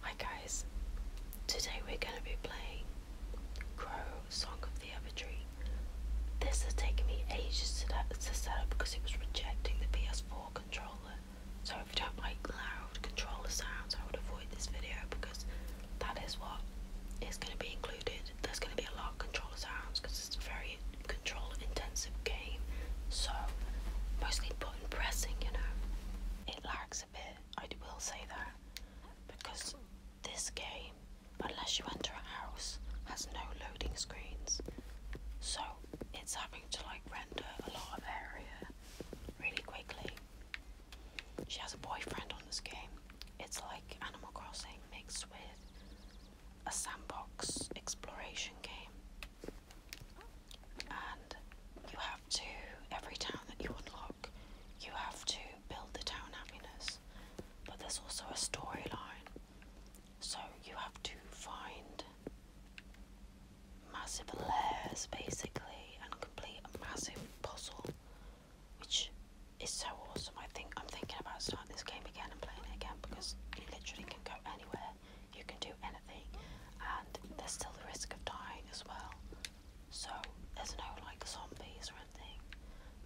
Hi guys, today we're going to be playing Crow Song of the Evertree. This has taken me ages to, set up because it was rejecting the PS4 controller. So if you don't like loud controller sounds, I would avoid this video because that is what is going to be included. There's going to be a lot of controller sounds because it's a very controller intensive game. So mostly button pressing, you know. It lags a bit, I will say that, because this game, unless you enter a house, has no loading screens. So it's having to like render a lot of area really quickly. She has a boyfriend on this game. It's like Animal Crossing mixed with a sandbox exploration game and you have to every town that you unlock you have to build the town happiness but there's also a storyline so you have to find massive layers basically and complete a massive puzzle which is so awesome I think I'm thinking about starting this game again and playing it again because you literally can go anywhere you can do anything, and there's still the risk of dying as well. So there's no like zombies or anything.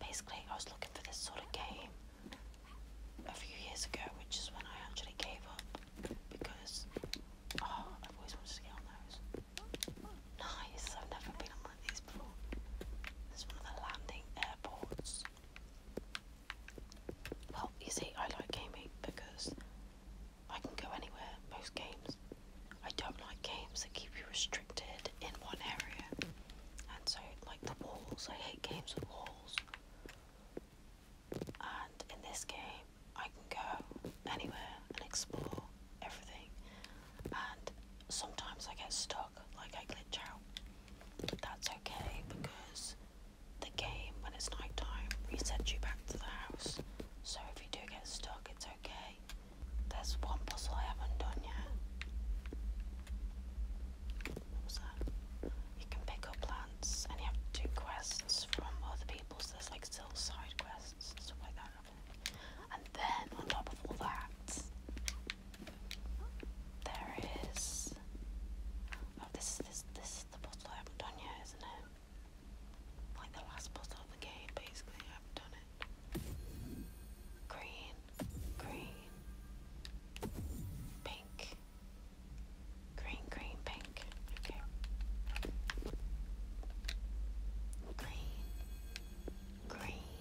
Basically, I was looking for this sort of game a few years ago, which is when I actually gave up because oh, I've always wanted to get on those. Nice, I've never been on one of these before. This one of the landing airports. Well, you see, I like gaming because I can go anywhere, most games. I don't like games that keep you restricted in one area. And so, like the walls, I hate games with walls. And in this game, I can go anywhere and explore everything. And sometimes I get stuck, like I glitch out. But that's okay because the game when it's night time resets you back to the house. So if you do get stuck, it's okay. There's one puzzle I haven't done yet. What was that? You can pick up plants and you have to quests from other people, so there's like still side quests and stuff like that. And then on top of all that, there is. Oh, this this, this is the puzzle I haven't done yet, isn't it? Like the last puzzle of the game, basically. I've done it. Green, green, pink, green, green, pink. Okay. Green, green,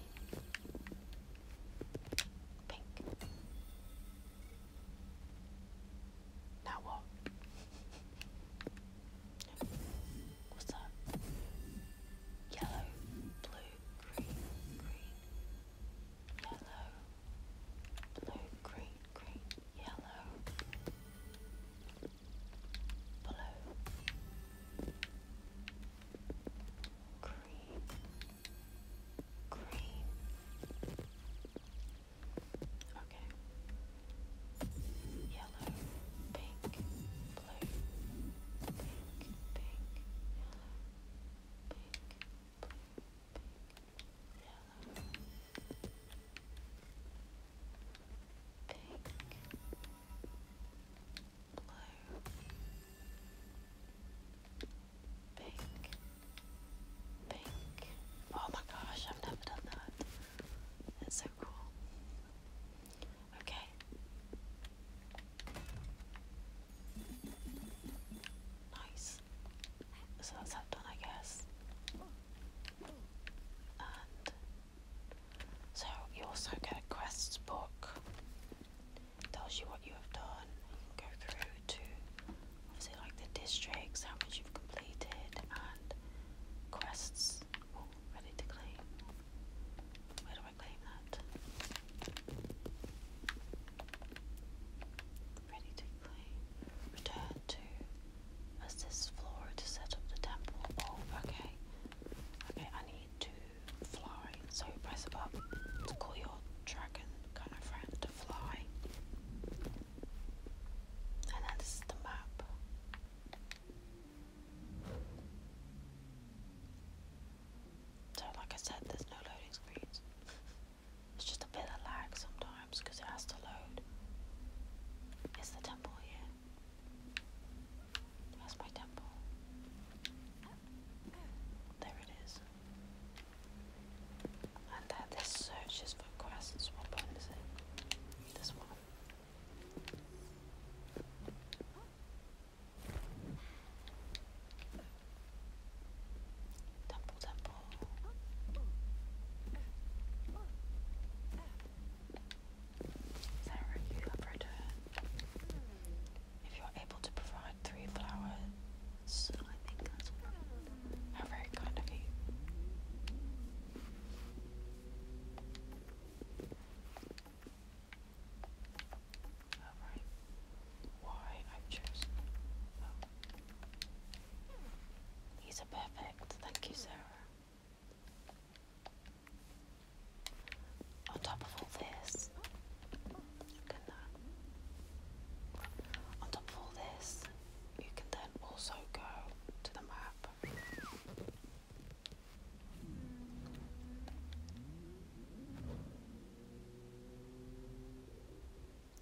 pink. Now what? What's that? Yellow, blue, green, green. Yellow, blue, green, green, yellow. Blue. Green. Green. Okay. Yellow, pink, blue, pink, pink, yellow, pink, blue, pink, yellow, pink, blue, pink. Oh my gosh, I've never done that. That's so cool. Okay. Nice. So that's done, I guess. so you also get a quests book. Tells you what you have done. go through to obviously like the districts, how much you've completed, and quests. ready to claim. Where do I claim that? Ready to claim. Return to assist Flora to set up the temple. Oh, okay. Okay, I need to fly. So press up to call your dragon kind of friend to fly. And then the map. So, like I said, there's no loading screens. It's just a bit of lag sometimes because it has to load. Is the temple here? That's my temple. There it is. And that this searches for grass. What button is it? This one. Temple, temple. If you are able to provide three flowers, I think that's Oh. He's a perfect. Thank you, Sarah. On top of all this, look at that. On top of all this, you can then also go to the map.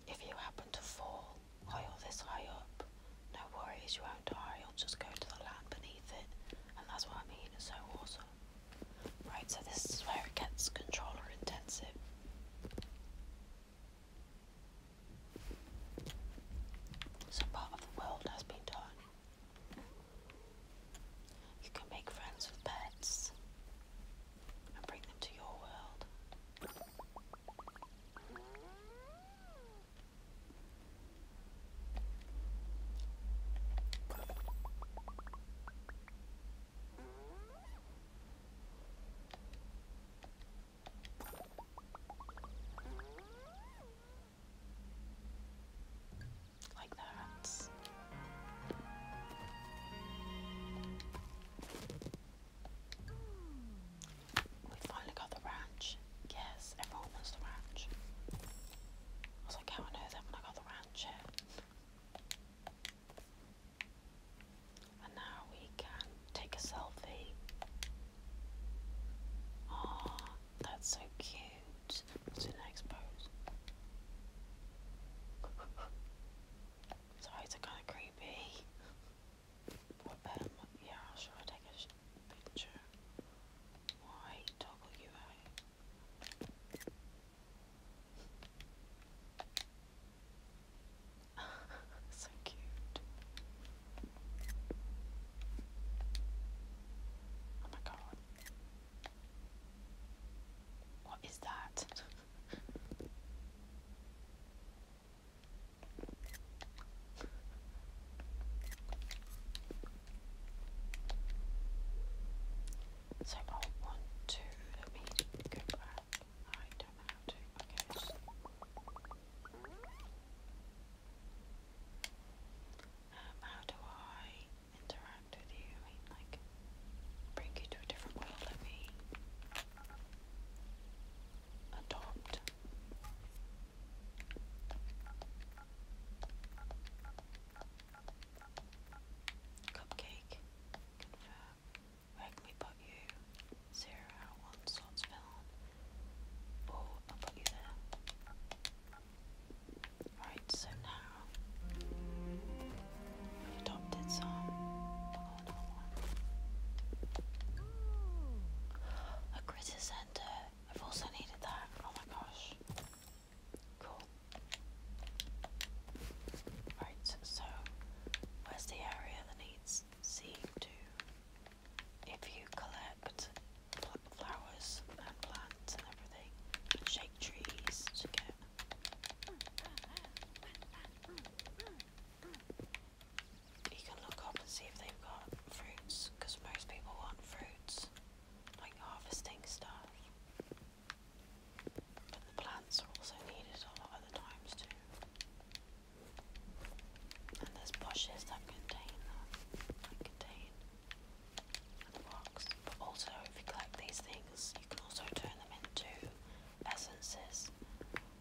If you happen to fall oil this high up, no worries, you won't die, you'll just go to the land beneath it, and that's what I mean, it's so awesome. Right, so this is where it gets controller intensive. Some part of the world has been done. You can make friends with pets and bring them to your world. Like that. We finally got the ranch. Yes, everyone wants the ranch. I was like, how I know that when I got the ranch and now we can take a selfie. Oh, that's so cute. What's the next pose? Sorry, it's kind of creepy. But, um, yeah, should I a picture? Why so cute. Oh my god. What is that? so, oh, one, two, let me go back. I how do I interact with you? mean, like, bring you to a different world. Let me adopt. Cupcake. Confirm. Where can we put you? Zero, one slots filled. Oh, I'll put you there. Right, so now adopted some. Hold one. A critter center. I've also needed that. Oh my gosh. Cool. Right, so where's the area that needs seem to, if you collect flowers and plants and everything, shake trees to You can look up and see if they've got fruits, because most people want fruits, like harvesting stuff. But the plants are also needed a lot of other times too. And there's bushes that contain that, that contain the box. But also, if you collect these things, you can also turn them into essences,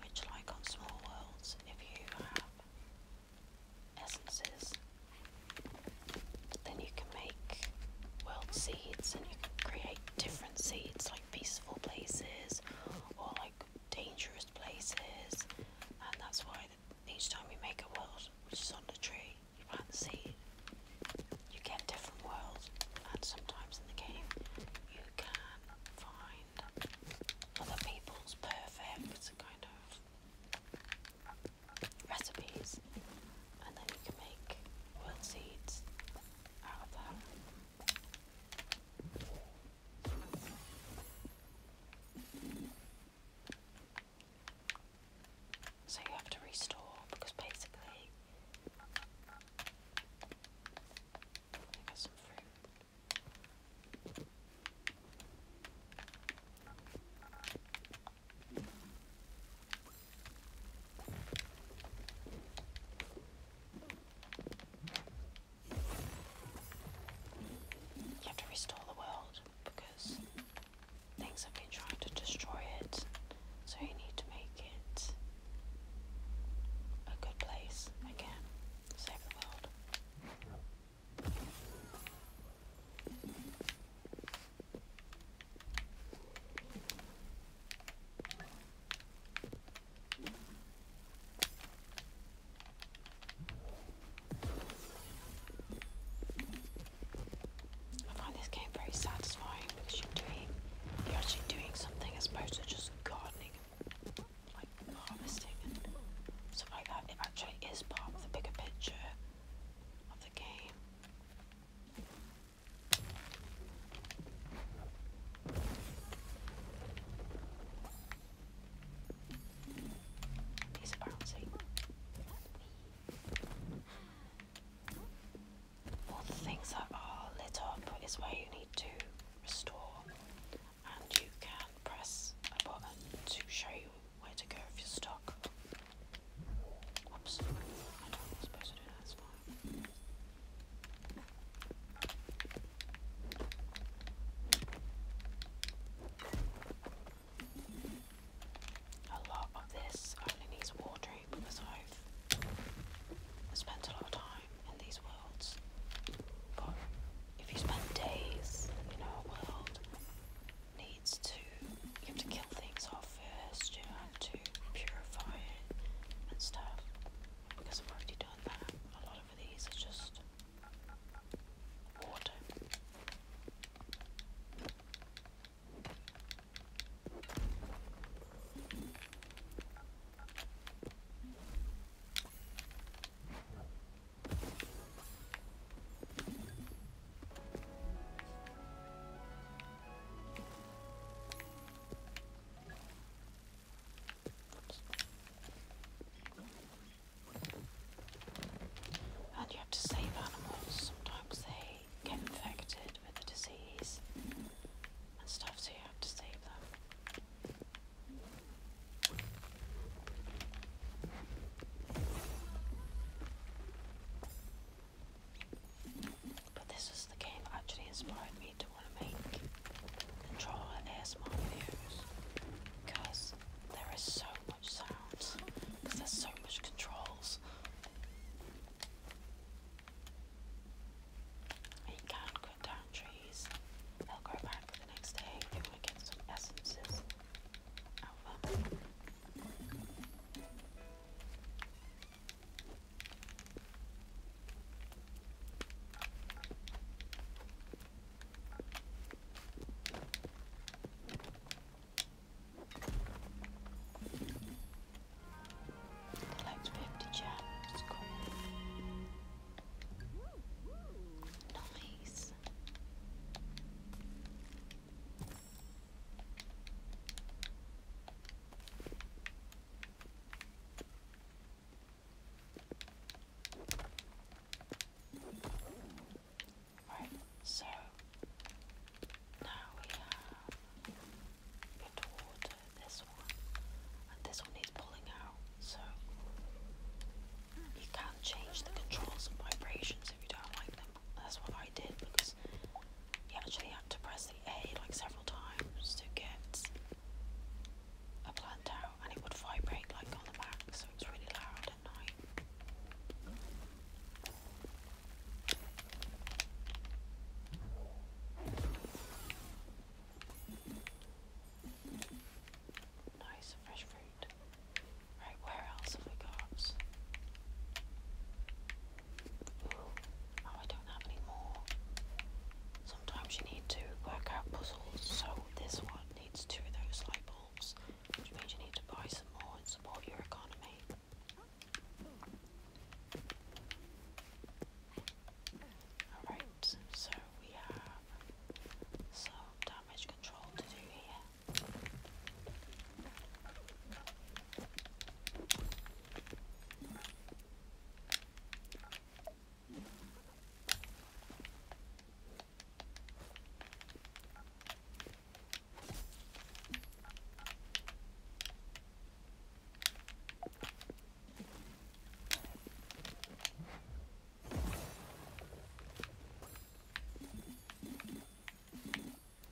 which, like on Small Worlds, if you have essences, then you can make world seeds and you can create different seeds like peaceful places or like dangerous places, and that's why each time you make a world, which is on the tree, you plant the seed, you get different worlds, and sometimes in the game, you can find other people's perfect kind of recipes, and then you can make world seeds out of that. So you have to restore because basically you have to restore the world because things have been trying to destroy it, so you need to make it a good place again. Save the world. I find this game very satisfying because you're doing you're actually doing something as opposed to just gardening and like harvesting and stuff like that. It actually is part of the bigger picture of the game. These are All the things that are lit up is where you need to restore, and you can press a button to show you where to go if you're stuck. Oops, I don't supposed to do, that's a lot of this only needs watering because I've spent a lot of time in these worlds. But if you spend days in a world, needs to you have to kill things off first, you have to purify it and stuff because I've already done that. A lot of these are just water. And you have to save animals. Sometimes they get infected with the disease and stuff, so you have to save them. But this is the game that actually inspired me to want to make and draw ASMR videos because there is so much sounds, because there's so much controls. You can cut down trees, they'll grow back the next day if you get some essences out Let's wave the jam. It's cool. Nice. Right, so now we have good water, this one, and this one needs pulling out, so you can change the controls and vibrations if you don't like them. That's what I did because you actually have to press like several times to get a plant out, and it would vibrate like on the back, so it really loud at night. Nice fresh fruit. Right, where else have we got? Oh, I don't have any more. Sometimes you need to work out puzzles, so this one needs two of those light bulbs, which means you need to buy some more and support your economy. Alright, so we have some damage control to do here.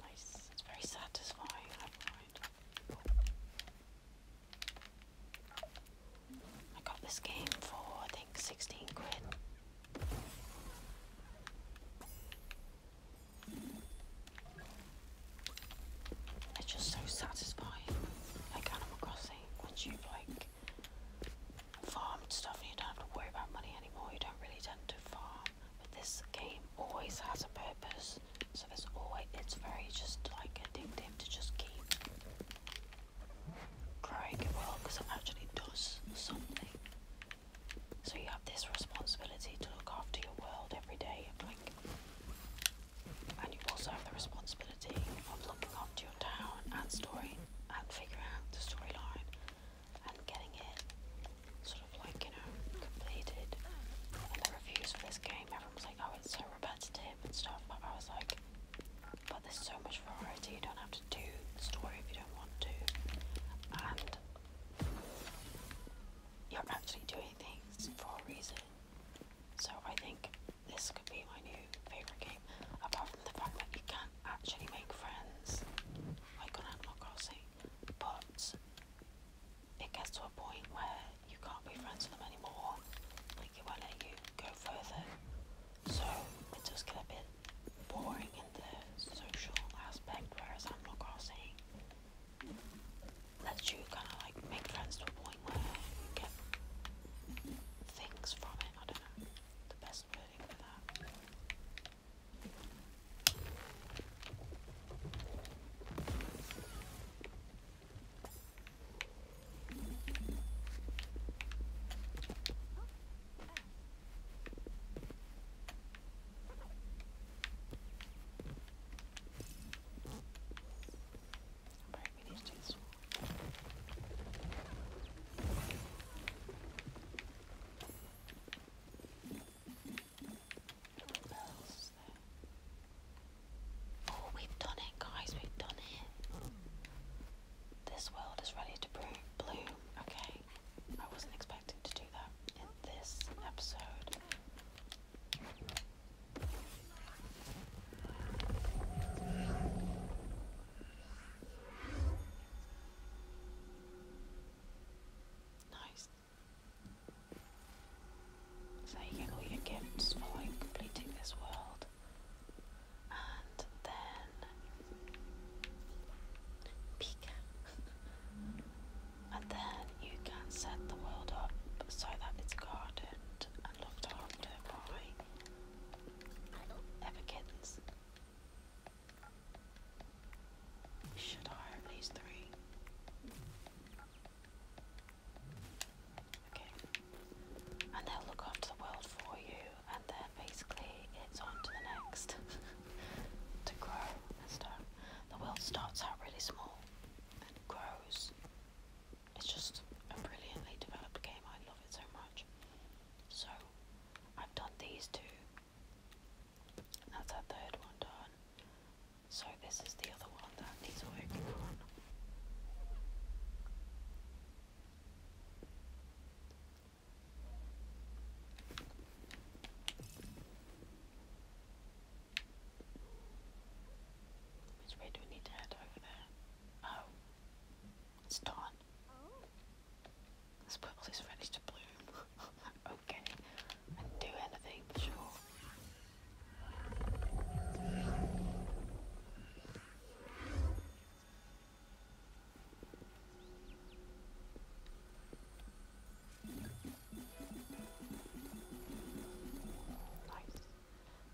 Nice. It's very satisfying. I got this game for I think 16 quid. It's just so satisfying. Like Animal Crossing, once you've like farmed stuff and you don't have to worry about money anymore, you don't really tend to farm. But this game always has a purpose. So it's always, it's very just like addictive to just keep growing it well because it actually does something. So you have this responsibility to look after your world every day, like, and you also have the responsibility of looking after your town and story and figuring out the storyline and getting it sort of like you know completed. And the reviews for this game, everyone's like, "Oh, so repetitive and stuff, but I was like, but there's so much variety, you don't have to do the story if you don't want to. And you're actually doing things for a reason. So I think this could be my new favourite game, apart from the fact that you can't actually make friends like on Animal Crossing, but it gets to a point where you can't be friends with them anymore. Like it won't let you go further. So it does get a bit boring in the social aspect, whereas i crossing. Lets you kind of like make friends to a point where you get things from it. I don't know the best wording for that. Alright, we need to do this one. Oh, we've done it, guys, we've done it. This world is ready to bloom. Okay, I wasn't expecting to do that in this episode. Nice. So you get all your gifts for completing this world. And then Pika. and then you can set the world up so that it's guarded and looked after by ever Should I have these three? Okay. And they'll look after the world for you, and then basically it's on to the next to grow and stuff. The world starts out really small and grows. It's just a brilliantly developed game. I love it so much. So I've done these two. That's our third one done. So this is the other one that needs working on. Which way do we need to head over there? Oh, it's dawn. Oh. This purple is ready to bloom. oh, okay. do anything sure.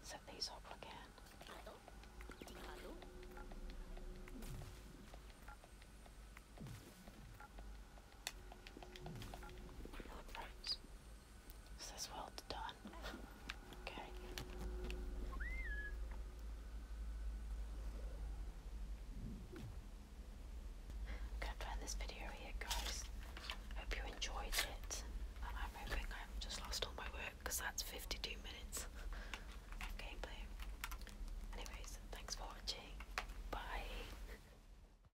Set these up again. Hello, this is well done. Okay. I'm going to end this video here, guys. Hope you enjoyed it. I'm hoping I haven't just lost all my work because that's 52 minutes of Anyways, thanks for watching. Bye.